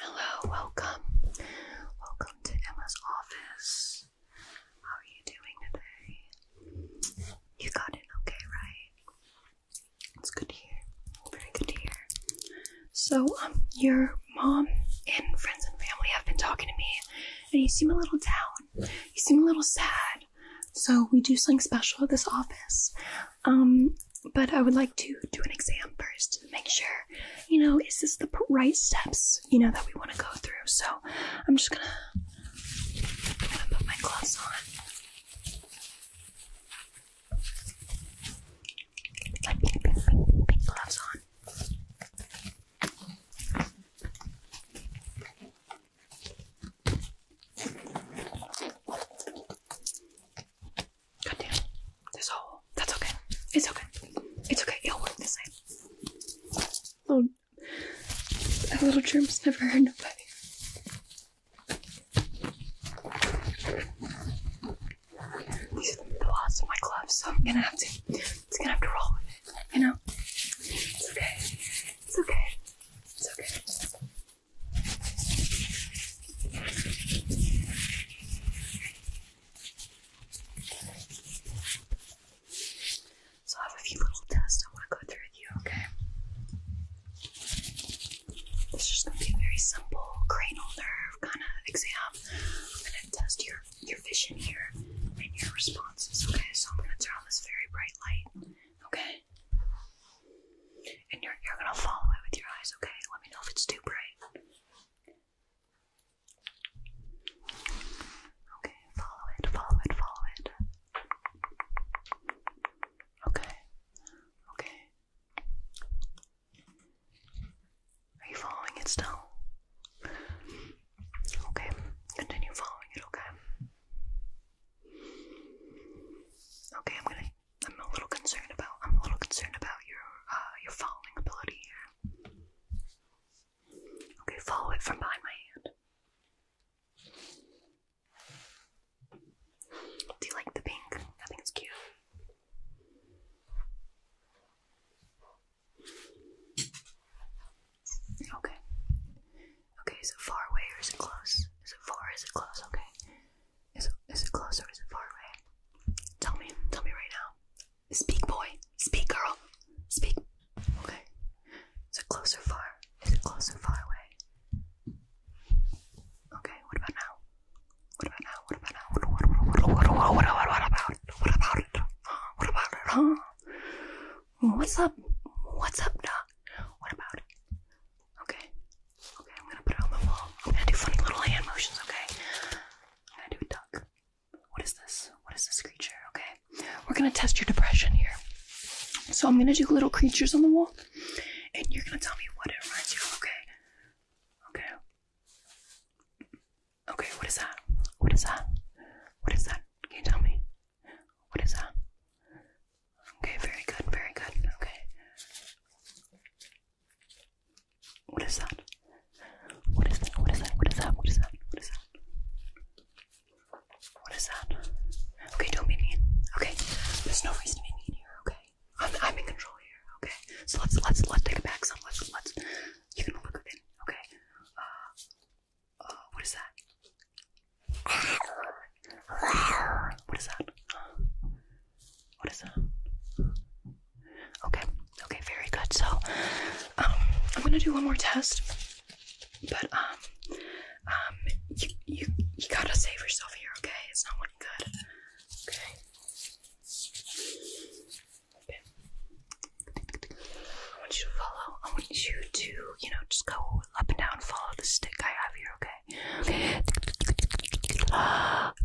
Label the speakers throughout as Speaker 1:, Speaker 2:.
Speaker 1: Hello, welcome. Welcome to Emma's office. How are you doing today? You got in okay, right? It's good to hear. Very good to hear. So, um, your mom and friends and family have been talking to me, and you seem a little down. You seem a little sad. So, we do something special at this office. Um, but I would like to do an exam first to make sure, you know, is this the right steps, you know, that we want to go through. So I'm just gonna, put my gloves on. My gloves on. God damn. This hole. That's okay. It's okay. It's okay. It'll work the same. Little, that little germ's never hurt nobody. These are the loss of my gloves, so I'm gonna have to it's gonna have to roll with it, you know? It's okay. It's okay. It's okay. So I have a few little tests I want to go through with you, okay? It's just gonna be a very simple cranial nerve kind of exam. I'm gonna test your your vision here and your responses, okay? So I'm gonna turn on this very bright light, okay? And you're you're gonna follow it with your eyes, okay? Let me know if it's too bright. Okay, follow it, follow it, follow it. Okay, okay. Are you following it still? Okay, continue following it, okay? Okay, I'm gonna I'm a little concerned about. I'm a little concerned about your uh, your following ability here. Okay, follow it from behind my hand. Do you like the pink? I think it's cute. Okay. Okay, is it far away or is it close? Is it far or is it close? Okay. Is it, is it close or is it far away? Tell me, tell me right now. Speak, boy. Speak, girl. Speak. Okay. Is it close or far? Is it close or far away? Okay. What about now? What about now? What about now? What, what, what, what, what, what, what, what, what about it? What about it? Huh? What about it? Huh? What's up? What's up, Doc? What about it? Okay. Okay, I'm gonna put it on the wall. I'm gonna do funny little hand motions, okay? I'm gonna do a duck. What is this? What is this creature? Okay. We're gonna test your depression here. So I'm gonna do little creatures on the wall, and you're gonna tell me what it reminds you okay? Okay. Okay, what is that? What is that? What is that? Can you tell me? What is that? Okay, very good, very good. Okay. What is that? What is that? What is that? What is that? What is that? What is that? What is that? Okay, don't be mean. Okay, there's no reason to be mean here. Okay, I'm I'm in control here. Okay, so let's let's let's take it back some. Let's let's you can look within. Okay, uh, uh, what is that? What is that? What is that? Okay, okay, very good. So, um, I'm gonna do one more test, but um, um, you you you gotta save yourself here, okay? It's not looking good. Okay. Okay. I want you to follow. I want you to, you know, just go up and down, follow the stick I have here, okay? Okay.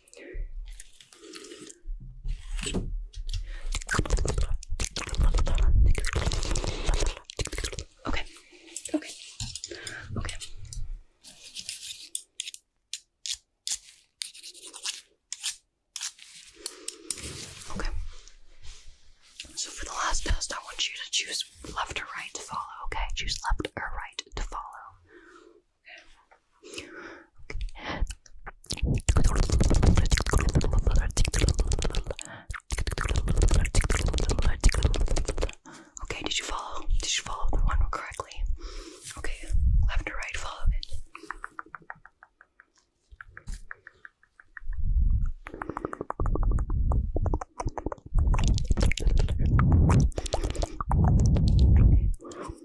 Speaker 1: Okay. Okay. Okay. Okay. So for the last test, I want you to choose left or right to follow, okay? Choose left or right to follow. Okay, did you follow? Did you follow the one correctly? Okay, left or right, follow it. Are you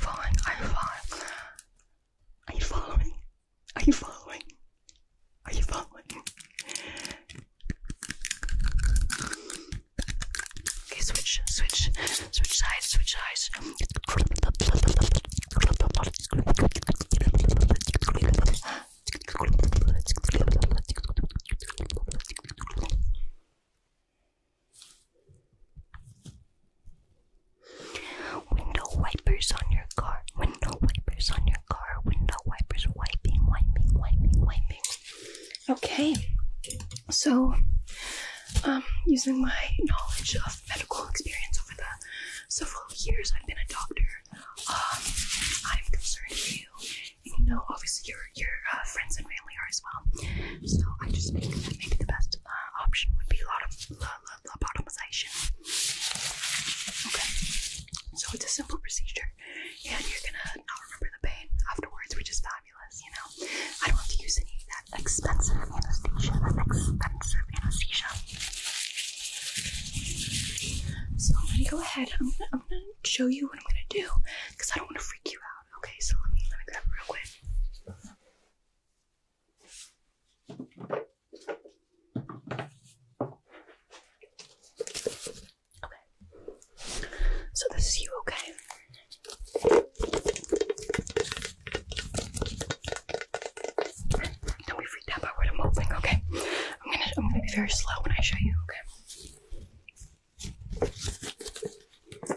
Speaker 1: following? Are you following? Are you following? Are you following? Are you following? Okay, switch, switch, switch sides, switch sides. Window wipers on your car, window wipers on your car, window wipers wiping, wiping, wiping, wiping. Okay, so um, using my knowledge of medical experience over the several years I've been a doctor, um, I'm concerned for you. you know, obviously your your uh, friends and family are as well. So I just think that maybe the best uh, option would be a lot of lobotomization. Okay, so it's a simple procedure and you're gonna not remember the pain afterwards, which is fabulous, you know. I don't have to use any of that expensive anesthesia, expensive anesthesia. So I'm gonna go ahead. I'm gonna, show you what I'm gonna do because I don't want to freak you out. Okay, so let me grab real quick. Okay. So this is you, okay? Don't be freaked out by what I'm opening, okay? I'm gonna I'm gonna be very slow when I show you, okay?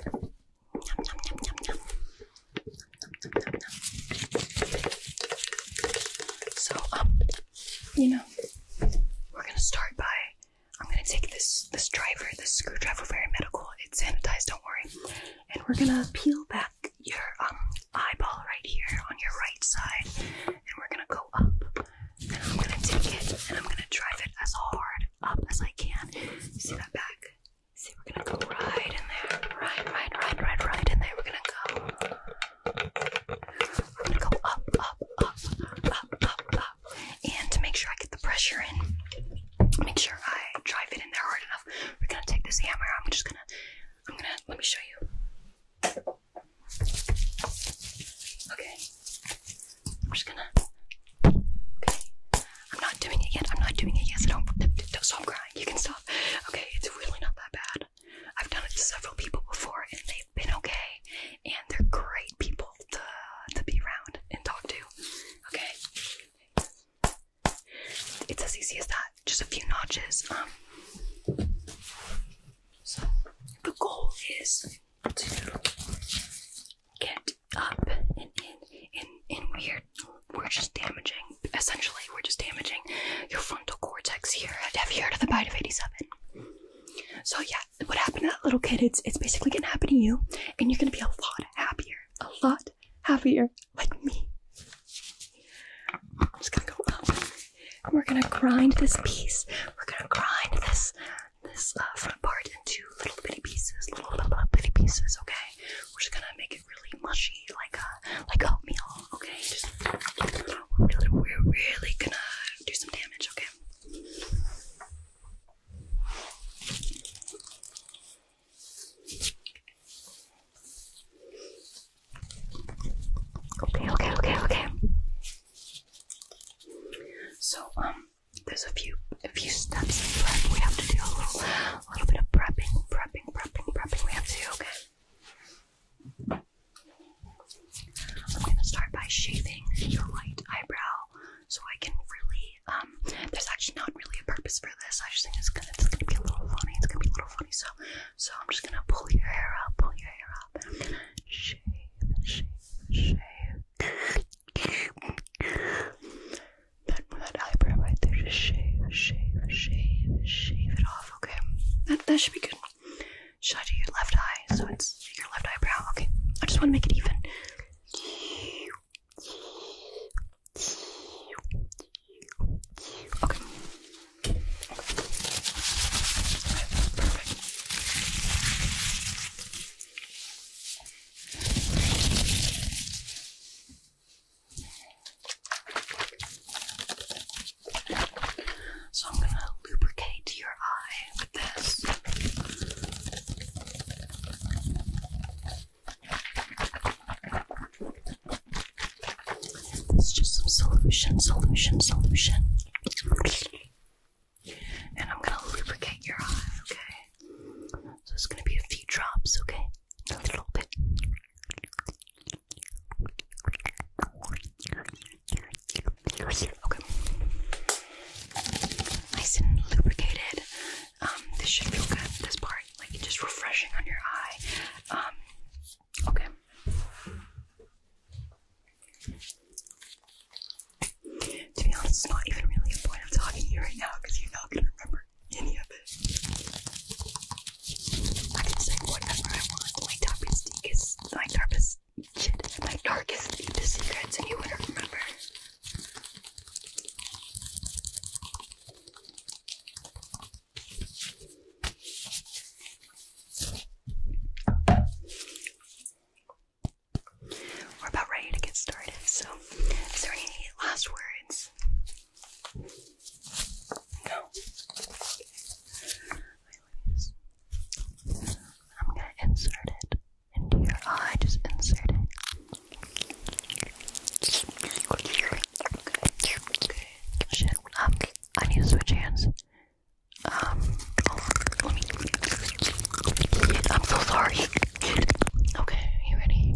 Speaker 1: Nom, nom, nom, nom, nom. Nom, nom, nom, nom. So um, you know, we're gonna start by I'm gonna take this this driver, this screwdriver, very medical. It's sanitized, don't worry. And we're gonna peel back your um eyeball right here on your right side, and we're gonna go up. And I'm gonna take it and I'm gonna drive it as hard up as I can. You see that back? See, we're gonna go right in there, right, right, right, right, right in there. We're gonna go. We're gonna go up, up, up, up, up, up, and to make sure I get the pressure in, make sure I drive it in there hard enough. We're gonna take this hammer. I'm just gonna, I'm gonna, let me show you. Okay, I'm just gonna. Okay, I'm not doing it yet. I'm not doing it yet. i don't, don't stop crying. You can stop. Okay, it's really not that bad. I've done it to several people before, and they've been okay, and they're great people to, be around and talk to. Okay? It's as easy as that. Just a few notches. Um, so, the goal is to get up and in, in, in weird. We're just damaging, essentially, we're just damaging your frontal cortex here. Have you heard of the bite of 87? So, yeah, what happened to that little kid, it's, it's basically going to happen to you, and you're going to be a lot happier. A lot happier, like me. just going to go up, and we're going to grind this piece. We're going to grind this this uh, front part into little bitty pieces, little, little, little bitty pieces, okay? We're just going to make it really mushy, like a, like oatmeal, okay? Just, we're really going to do some damage, okay? Okay, okay, okay, okay. So, um, there's a few a few steps in prep. We have to do a little a little bit of prepping, prepping, prepping, prepping. We have to do, okay. I'm gonna start by shaving your light eyebrow so I can really, um, there's actually not really a purpose for this. I just think it's gonna, it's gonna be a little funny. It's gonna be a little funny. So, so I'm just gonna pull your hair up, pull your hair up, and I'm gonna shave, shave, shave. that, that eyebrow right there, just shave, shave, shave, shave it off. Okay, that that should be good. Should I do your left eye so it's your left eyebrow. Okay, I just want to make it even. Okay. Perfect. So I'm going to lubricate your eye with this. It's just some solution, solution, solution. And I'm gonna lubricate your eye, okay? So it's gonna be a few drops, okay? A little bit. Okay. Okay. Nice and lubricated. Um, this should feel good. This part, like just refreshing on your eye. Um, okay. To be honest, it's not even really a point of talking to you right now because you're not gonna remember any of it. I can say whatever I want. My topic is, is my topic shit, my darkest, deepest secrets, and you wouldn't remember. We're about ready to get started, so is there any last words? No. I'm gonna insert it into your eye. Just insert um, I need to switch hands. Um, let me. I'm so sorry. Okay, you ready?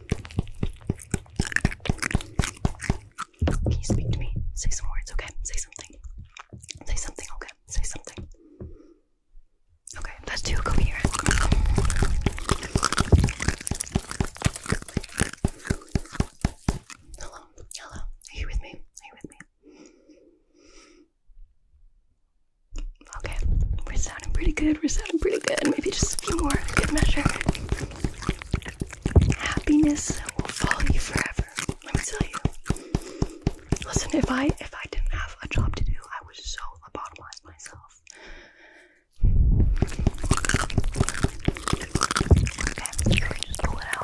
Speaker 1: Can you speak to me? Say some words, okay? Say something. Say something, okay? Say something. Okay, that's too coherent. Hello, hello. Are you with me? Are you with me? Okay, we're sounding pretty good. We're sounding pretty good. Maybe just a few more, good measure. Happiness will follow you forever. Let me tell you. Listen, if I if I didn't have a job to do, I was so lobotomize myself. Okay, just pull it out.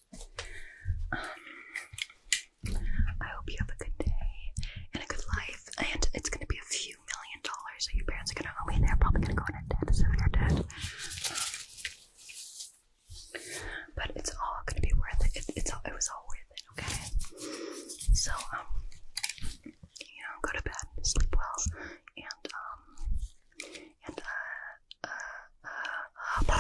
Speaker 1: Um, I hope you have a good day and a good life. And it's gonna be a few million dollars, so your parents are gonna owe me. They're probably gonna go in debt, so you're dead. Um, but it's all gonna be worth it. it. It's all, was all worth it, okay? So um, you know, go to bed, sleep well, and um, and uh, uh, uh,